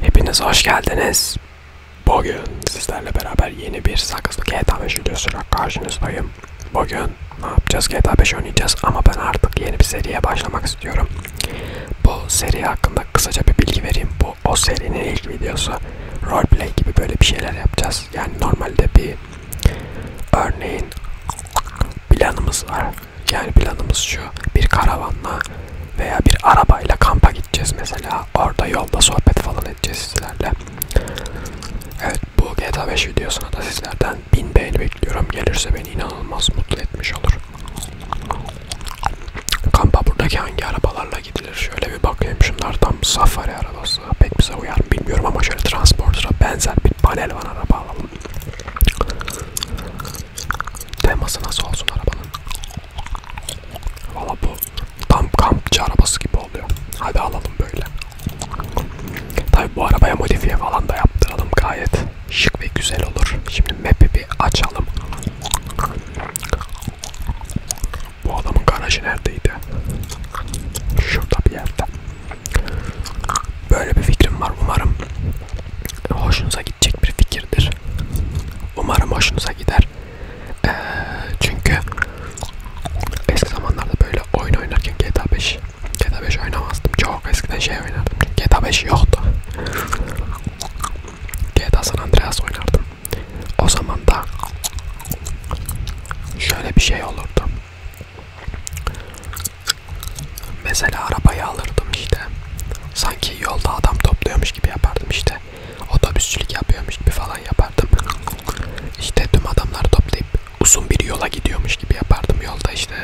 Hepiniz hoş geldiniz. Bugün sizlerle beraber yeni bir sakızlı GTA 5 videosuyla karşınızdayım. Bugün ne yapacağız? GTA 5 oynayacağız ama ben artık yeni bir seriye başlamak istiyorum. Bu seri hakkında kısaca bir bilgi vereyim. Bu o serinin ilk videosu. Roleplay gibi böyle bir şeyler yapacağız. Yani normalde bir örneğin planımız var. Yani planımız şu. Bir karavanla veya bir arabayla kampa gideceğiz mesela. Orada yolda sohbet falan edeceğiz sizlerle. Evet bu GTA 5 videosuna da sizlerden 1000 beğeni bekliyorum. Gelirse beni inanılmaz mutlu etmiş olur. Kampa buradaki hangi arabalarla gidilir? Şöyle bir bakayım şunlardan safari arabası. Pek bize uyar mı bilmiyorum ama şöyle transporter'a benzer bir panel van araba alalım. Teması nasıl olsun arabanın? Valla bu tam kampçı arabası gibi oluyor. Hadi alalım böyle. Tabi bu arabaya modifiye falan da yaptıralım gayet şık ve güzel olur. Şimdi map'i bir açalım. Bu adamın garajı neredeydi? Şurada bir yerde. Böyle bir fikrim var umarım hoşunuza gidecek bir fikirdir. Umarım hoşunuza gider. Ee, çünkü eski zamanlarda böyle oyun oynarken GTA 5 GTA 5 oynamazdım. Çok eskiden şey oynardım. GTA 5 yoktu. GTA San Andreas oynardım. O zaman da şöyle bir şey olurdu. Mesela arabayı alırdım işte. Sanki yolda adam topluyormuş gibi yapardım işte. Otobüsçülük yapıyormuş gibi falan yapardım. İşte tüm adamları toplayıp uzun bir yola gidiyormuş gibi yapardım yolda işte.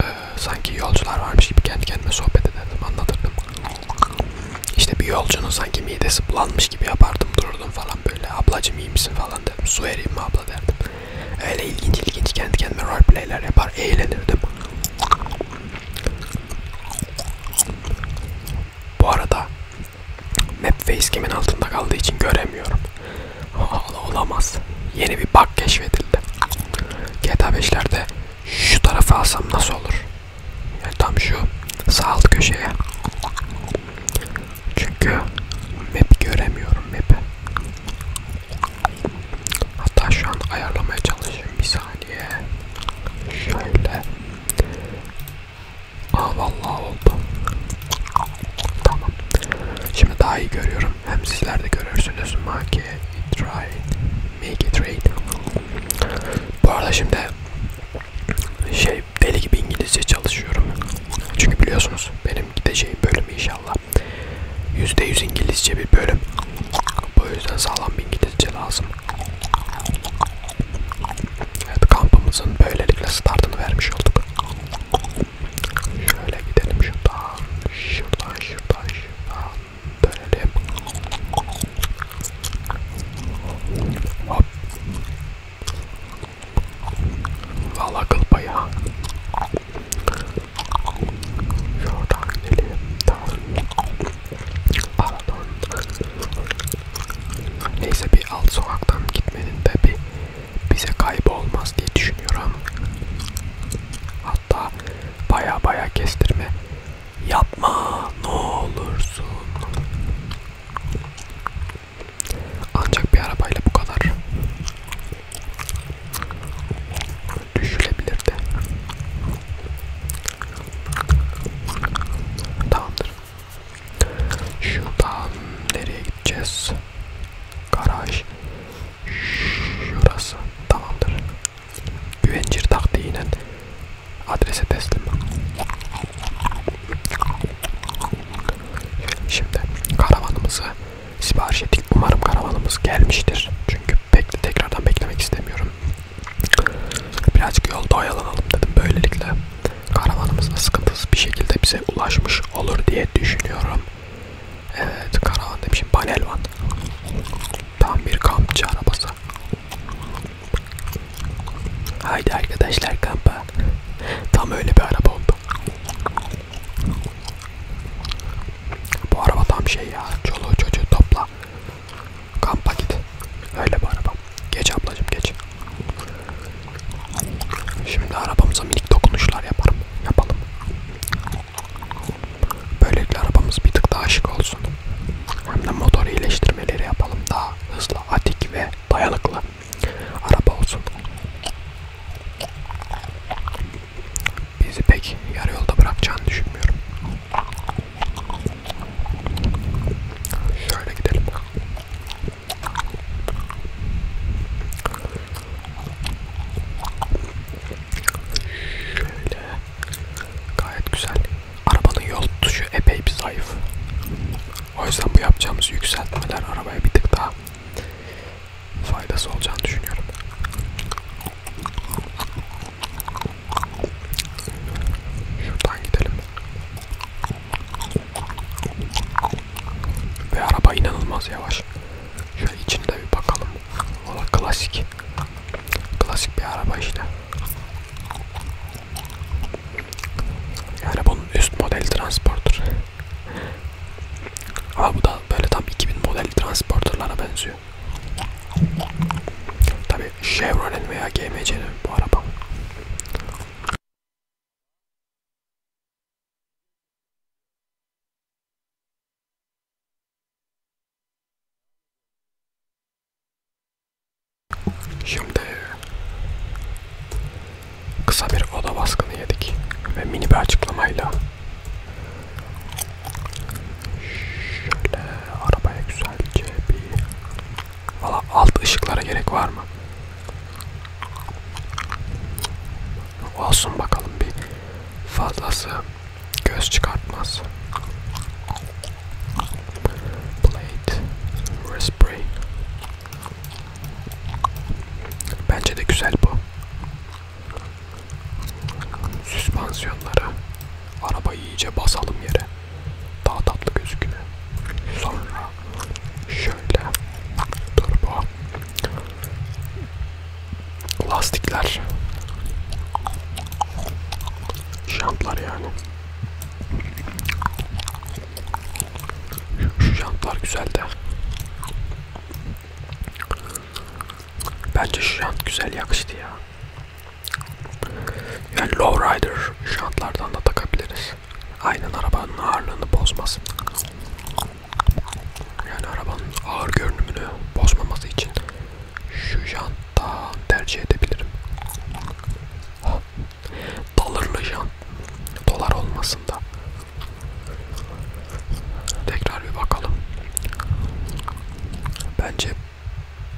E, sanki yolcular varmış gibi kendi kendime sohbet ederdim, anlatırdım. İşte bir yolcunun sanki midesi bulanmış gibi yapardım, dururdum falan böyle. Ablacım iyi misin falan dedim, su vereyim mi abla derdim. Öyle ilginç ilginç kendi kendime roleplayler yapar, eğlenirdim. Bu arada map facecam'in altında kaldığı için göremiyorum. Hala olamaz. Yeni bir bug keşfedildi. GTA 5'lerde şu tarafa alsam nasıl olur? Yani tam şu sağ alt köşeye. Çünkü map göremiyorum map'i. Hatta şu an ayarlamaya çalışayım bir saniye. Şöyle. Aa vallahi oldu. Tamam. Şimdi daha iyi görüyorum. Hem sizler de görürsünüz. Make it right. Make it right. Bu arada şimdi şey deli gibi İngilizce çalışıyorum. Çünkü biliyorsunuz benim gideceğim bölüm inşallah %100 İngilizce bir bölüm. Bu yüzden sağlam bir İngilizce lazım. Evet kampımızın böylelikle startını vermiş olduk. Şöyle gidelim şuradan, şuradan, şuradan, şuradan dönelim. Hop. Valla kıl payı ha. Şuradan gidelim. Pardon. Neyse bir alt sokaktan gitmenin de bir bize kaybolmaz diye düşünüyorum. Hatta baya baya kestirme yapma ne olursun. Ancak bir arabayla bu kadar düşülebilirdi. Tamamdır. Şuradan nereye gideceğiz? Garaj. Şurası. Tamamdır. Güvencir taktiğiyle adrese teslim. Şimdi karavanımızı sipariş ettik. Umarım karavanımız gelmiştir. Çünkü bekle tekrardan beklemek istemiyorum. Birazcık yolda oyalanalım dedim. Böylelikle karavanımız da sıkıntısız bir şekilde bize ulaşmış olur diye düşünüyorum. Evet karavan demişim. Panelvan. Tam bir kampçı arabası. Haydi arkadaşlar kampa. Tam öyle bir araba oldu. Bu araba tam şey ya. Çoluğu çocuğu topla. Kampa git. Öyle bu araba. Geç ablacım geç. Şimdi arabamıza minik dokunuşlar yaparım. Yapalım. Böylelikle arabamız bir tık daha şık olsun. Hem de motor iyileştirmeleri yapalım. Daha hızlı, atik ve dayanıklı araba olsun. Bizi pek yarı yolda bırakacağını düşünmüyorum. Şöyle gidelim. Şöyle. Gayet güzel. Arabanın yol tutuşu epey bir zayıf. O yüzden bu yapacağımız yükseltmeler arabaya bir tık daha faydası olacağını düşünüyorum. Şuradan gidelim. Ve araba inanılmaz yavaş. Şöyle içinde bir bakalım. Valla klasik. Klasik bir araba işte. Yani bunun üst model transporter. Ama bu da böyle tam 2000 model transporterlara benziyor. Tabi Chevrolet veya GMC'nin bu araba. Şimdi kısa bir oda baskını yedik ve mini bir açıklamayla Şöyle arabaya güzelce bir... Valla alt ışıklara gerek var mı? Olsun bakalım bir fazlası göz çıkartmaz. Blade, Raspberry. Bence de güzel bu. Süspansiyonlara arabayı iyice basalım yere. Daha tatlı gözüküyor. Sonra şöyle turbo lastikler jantlar yani. Şu jantlar güzel de. Bence şu jant güzel yakıştı ya. Yani lowrider jantlardan da takabiliriz. Aynen arabanın ağırlığını bozmasın. Yani arabanın ağır görünümünü bozmaması için şu janttan tercih edebilirim. Dolarlı jant. Dolar olmasın da Tekrar bir bakalım. Bence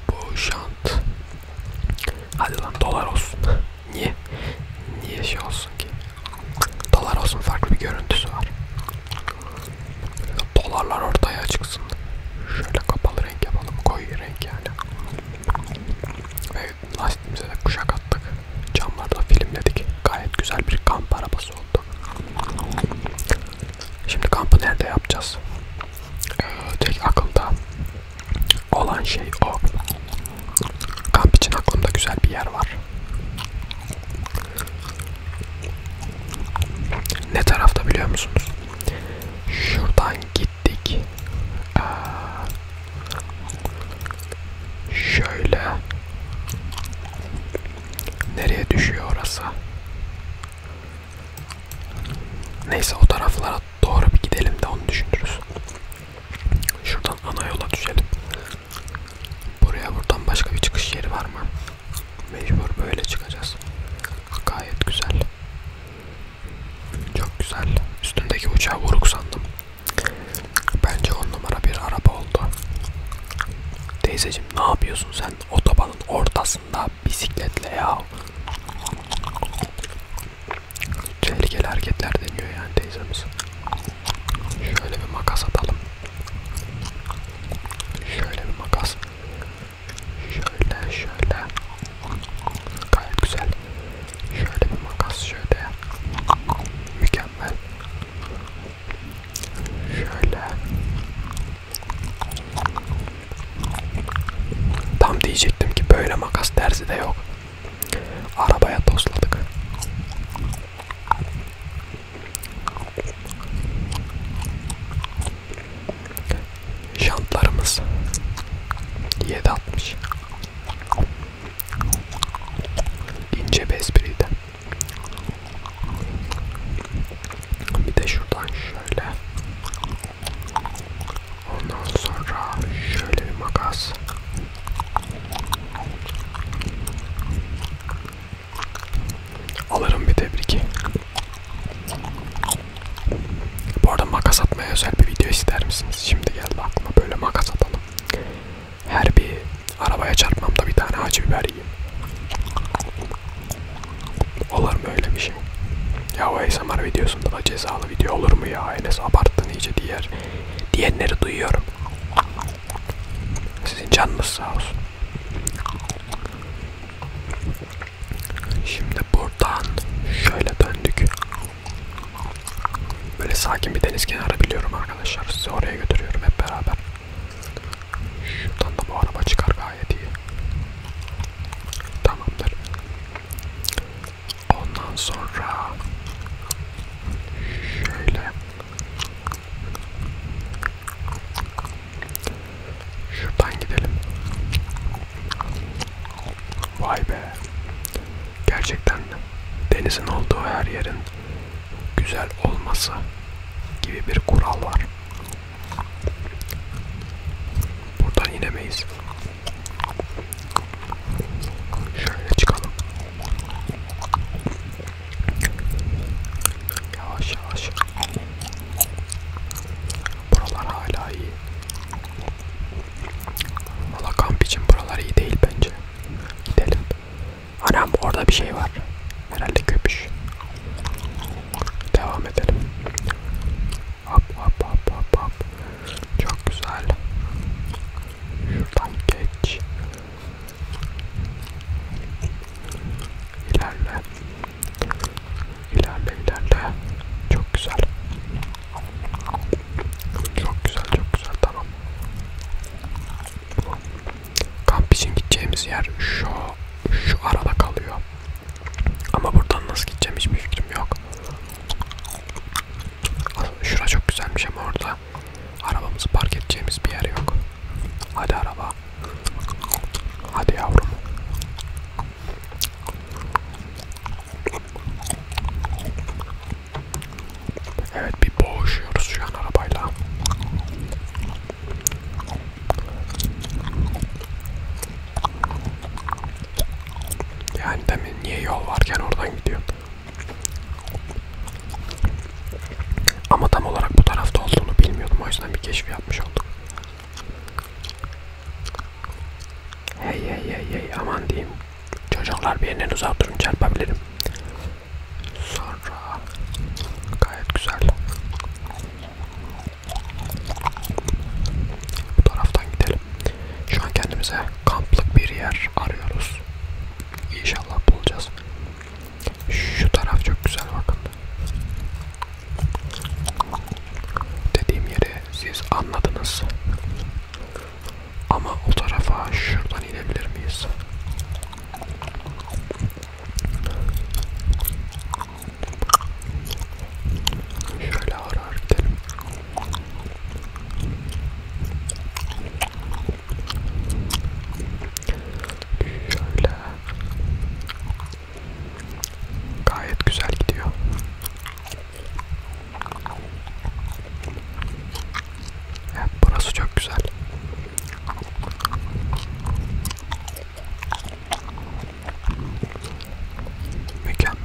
bu şant. Hadi lan dolar olsun. Niye? Niye şey olsun ki? Dolar olsun farklı bir görüntüsü var. Dolarlar ortaya çıksın. Şöyle kapalı renk yapalım. Koyu renk yani. Ve lastiğimize de kuşak attık. Camlarda filmledik. Gayet güzel bir kamp arabası oldu. Şimdi kampı nerede yapacağız? Ee, tek akılda olan şey o. Kamp için aklımda güzel bir yer var. Ne tarafta biliyor musunuz? Şuradan gittik. Ee, Şöyle. Nereye düşüyor orası? Neyse o taraflara doğru bir gidelim de onu düşünürüz. Şuradan ana yola düşelim. Buraya buradan başka bir çıkış yeri var mı? Mecbur böyle çıkacağız. Gayet güzel. Çok güzel. Üstündeki uçağı vuruk sandım. Bence on numara bir araba oldu. Teyzeciğim ne yapıyorsun sen otobanın ortasında bisikletle ya? Tehlikeli hareketler deniyor yani teyzemiz. Şöyle bir makas atalım. Şöyle bir makas. Şöyle şöyle. Gayet güzel. Şöyle bir makas şöyle. Mükemmel. Şöyle. Tam diyecektim ki böyle makas terzi de yok. Arabaya tosladık. Şantlarımız 7.60 İnce bir espriydi. Bir de şuradan şöyle. Ondan sonra şöyle bir makas. Alırım bir tebrik. Bu arada makas atmaya özel bir video ister misiniz? Şimdi geldi aklıma böyle makas atalım. Her bir arabaya çarpmamda bir tane acı biber yiyeyim. Olur mu öyle bir şey? Ya o ASMR videosunda da cezalı video olur mu ya? Enes abarttın iyice diğer diyenleri duyuyorum. Sizin canınız sağ olsun. Şimdi buradan şöyle döndük. Böyle sakin bir deniz kenarı biliyorum arkadaşlar. Sizi oraya götürüyorum hep beraber. Şuradan da bu araba çıkar gayet iyi. Tamamdır. Ondan sonra şöyle şuradan gidelim. Vay be gerçekten denizin olduğu her yerin güzel olması gibi bir kural var. Buradan inemeyiz. Şöyle çıkalım. Yavaş yavaş. Buralar hala iyi. Valla kamp için buralar iyi değil bence. Gidelim. Anam orada bir şey var. Herhalde köpüş. Devam edelim. Hop hop hop hop hop. Çok güzel. Şuradan geç. İlerle. İlerle ilerle. Çok güzel. Çok güzel çok güzel tamam. Kamp için gideceğimiz yer şu şu arada kalıyor. Ama buradan nasıl gideceğim hiçbir fikrim yok. Şura çok güzelmiş ama orada arabamızı park edeceğimiz bir yer yok. Hadi araba. Hadi yavrum. Evet bir boğuşuyoruz şu an arabayla. Yani demin niye yol varken oradan gidiyor. Ama tam olarak bu tarafta olduğunu bilmiyordum o yüzden bir keşif yapmış oldum. Hey hey hey hey aman diyeyim. Çocuklar birinden uzak durun çarpabilirim. Sonra gayet güzel. Bu taraftan gidelim. Şu an kendimize kamplık bir yer arıyoruz. İnşallah bulacağız. Şu taraf çok güzel bakın. Dediğim yeri siz anladınız. Ama o tarafa şuradan inebilir miyiz? Şöyle ağır ağır gidelim. Şöyle. Gayet güzel gidiyor. Evet, burası çok güzel. Mükemmel.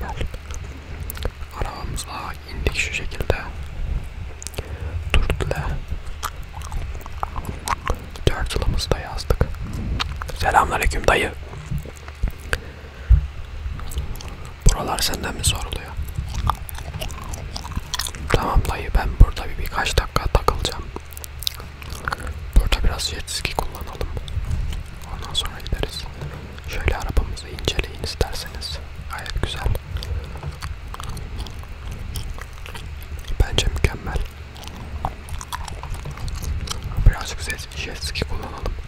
Arabamızla indik şu şekilde. Turtle. Dört yılımızı da yazdık. Selamünaleyküm dayı. Buralar senden mi soruluyor? Tamam dayı ben burada bir birkaç dakika takılacağım. Burada biraz jet ski kullanalım. Ondan sonra gideriz. Şöyle arabamızı inceleyin isterseniz. Gayet güzel. Bence mükemmel. Birazcık jet ski kullanalım.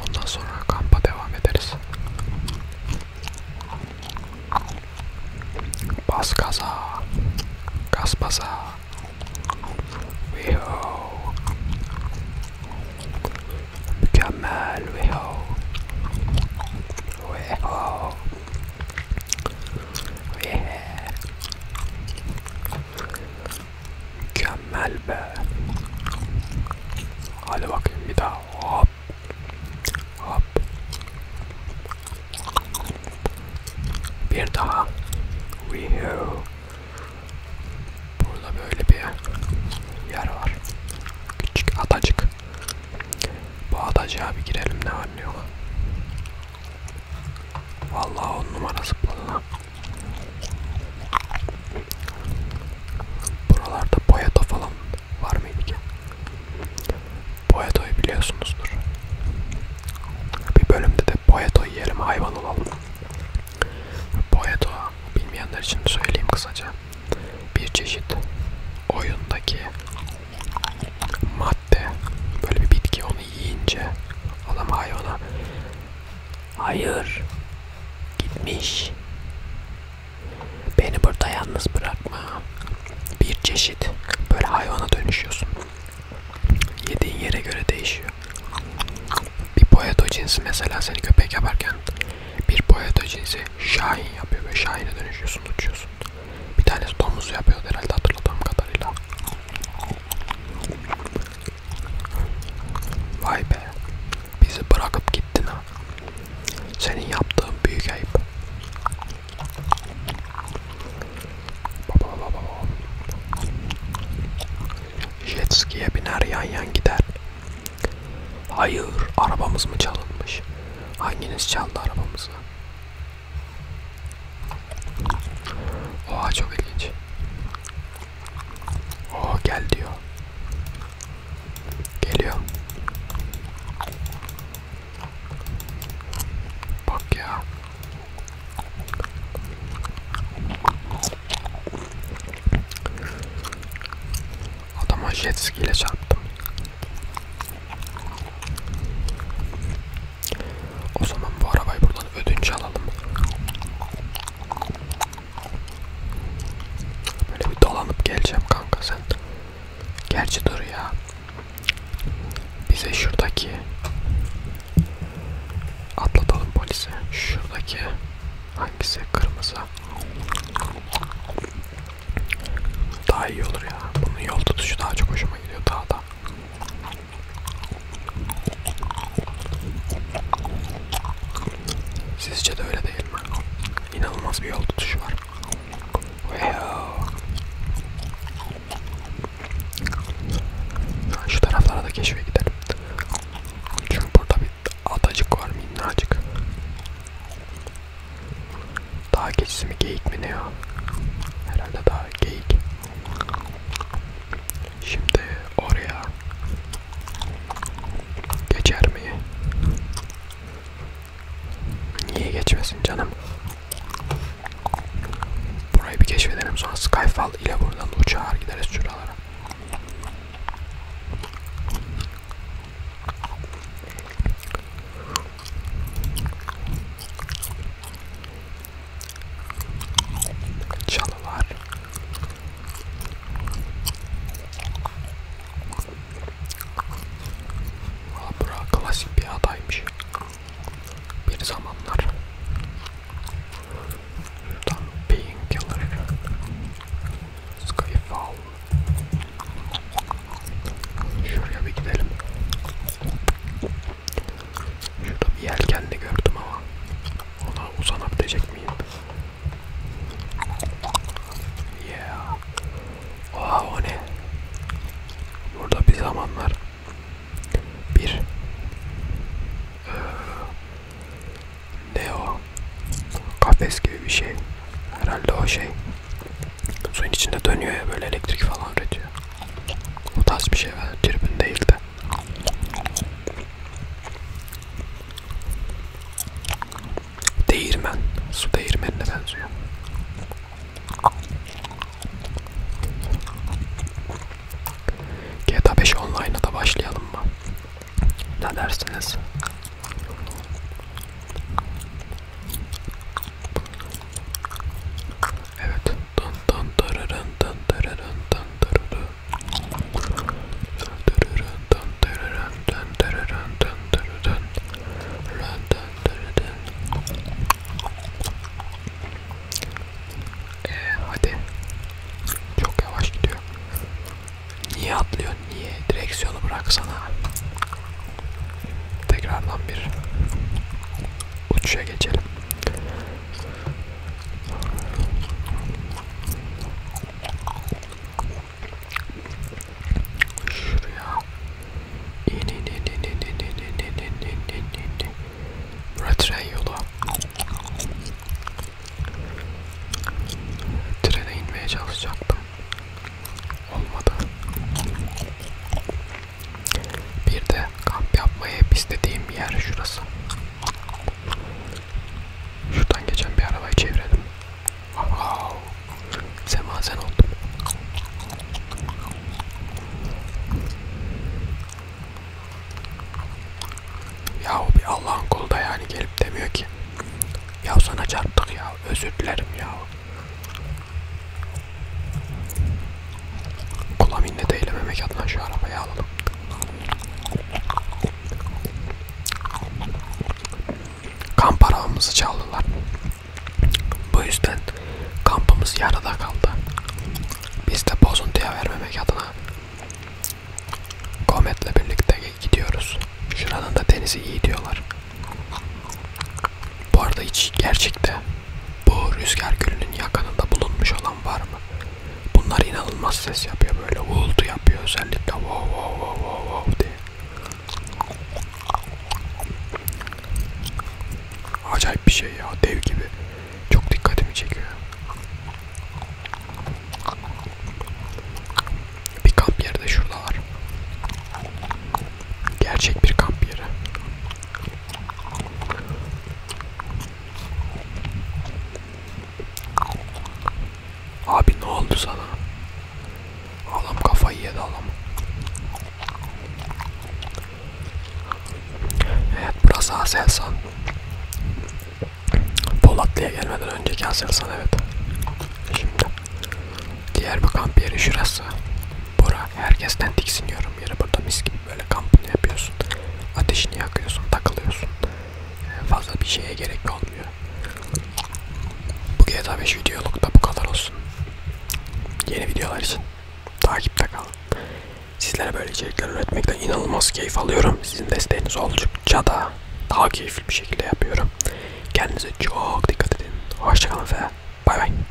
Ondan sonra kampa devam ederiz. Bas gaza. Gaz baza. Weho. Mükemmel. Weho. Weho. Wehe. Mükemmel be. Hadi bakayım bir daha. Hop. Hop. Bir daha. Weho. Burada böyle bir yer var. Küçük adacık. Bu adacığa bir girelim ne var ne yok. Vallahi on numara zıpladı lan. Buralarda Poyato falan var mıydı ki? Poyato'yu biliyorsunuzdur. Bir bölümde de Poyato yiyelim hayvan olalım. Poyato bilmeyenler için söyleyeyim kısaca. Bir çeşit oyundaki madde böyle bir bitki onu yiyince adam hayvana Hayır. Gitmiş. Beni burada yalnız bırakma. Bir çeşit böyle hayvana dönüşüyorsun. Yediğin yere göre değişiyor. Bir poeto cinsi mesela seni köpek yaparken bir poeto cinsi şahin yapıyor ve şahine dönüşüyorsun uçuyorsun. Bir tanesi domuz yapıyor herhalde hatırladığım kadarıyla. Vay be. Bizi bırakıp gittin ha. Senin yaptığın büyük ayıp. Baba baba. Jet ski'ye biner yan yan gider. Hayır, arabamız mı çalınmış? Hanginiz çaldı arabamızı? Oha çok ilginç. Oh gel diyor. Geliyor. Bak ya. Adama jet ski ile çarptım. O zaman bu arabayı buradan ödünç alalım. Böyle bir dolanıp geleceğim kanka sen. Gerçi dur ya. Bize şuradaki atlatalım polise. Şuradaki hangisi kırmızı? Daha iyi olur ya. Bunun yol tutuşu daha çok hoşuma gidiyor daha da. Sizce de öyle değil mi? İnanılmaz bir yol tutuşu var. Şu taraflara da keşfe gidelim. Çünkü burada bir adacık var minnacık. Daha geçisi mi geyik mi ne ya? Herhalde daha geyik. Şimdi oraya geçer mi? Niye geçmesin canım? Burayı bir keşfedelim sonra Skyfall ile buradan uçağa gideriz şuralara çalılar Bura klasik bir adaymış bir zamanlar Şuradan Painkiller Skyfall Şuraya bir gidelim Şurada bir yelken de gördüm ama ona uzanabilecek miyim? Yeah. Oha o ne? Burada bir zamanlar bir ee, ne o? Kafes gibi bir şey. Herhalde o şey. Suyun içinde dönüyor ya böyle elektrik falan üretiyor. O tarz bir şey ben tribün değildi. Değirmen. Su değirmenine benziyor. GTA 5 online'a da başlayalım mı? Ne dersiniz? Evet. Ee, hadi çok yavaş gidiyor. Niye atlıyor? Niye? Direksiyonu bıraksana. Tekrardan bir uçuşa geçelim. Şuraya. İn in in in in in in in in in in. Burası tren yolu. Trene inmeye çalışacaktım. Olmadı. Bir de kamp yapmayı hep istediğim yer şurası. Şuradan geçen bir arabayı çevirelim. Wow. Semazen oldum. Yahu bir Allah'ın kulu da yani gelip demiyor ki. Ya sana çarptık ya. Özür dilerim ya. Kula minnet eylememek adına şu arabayı alalım. Kamp arabamızı çaldılar. Bu yüzden kampımız yarıda kaldı. Biz de bozuntuya vermemek adına Komet'le birlikte gidiyoruz. Şuranın da denizi iyi diyorlar. Bu arada hiç gerçekte bu rüzgar gölünün yakınında bulunmuş olan var mı? Bunlar inanılmaz ses yapıyor böyle uğultu yapıyor özellikle wow wow wow wow wow diye. Acayip bir şey ya dev gibi. Çok dikkatimi çekiyor. Bir kamp yeri de şurada var. Gerçek bir kamp yeri. Abi ne oldu sana? Adam kafayı yedi adam. Evet burası Aselsan. Polatlı'ya gelmeden önceki Aselsan evet. Şimdi diğer bir kamp yeri şurası. Bora herkesten tiksiniyorum yere burada mis gibi böyle kampını yapıyorsun. Ateşini yakıyorsun, takılıyorsun. Ee, fazla bir şeye gerek olmuyor. Bu GTA 5 videoluk da bu kadar olsun. Yeni videolar için takipte kalın. Sizlere böyle içerikler üretmekten inanılmaz keyif alıyorum. Sizin desteğiniz oldukça da daha keyifli bir şekilde yapıyorum. Kendinize çok dikkat edin. Hoşçakalın ve bay bay.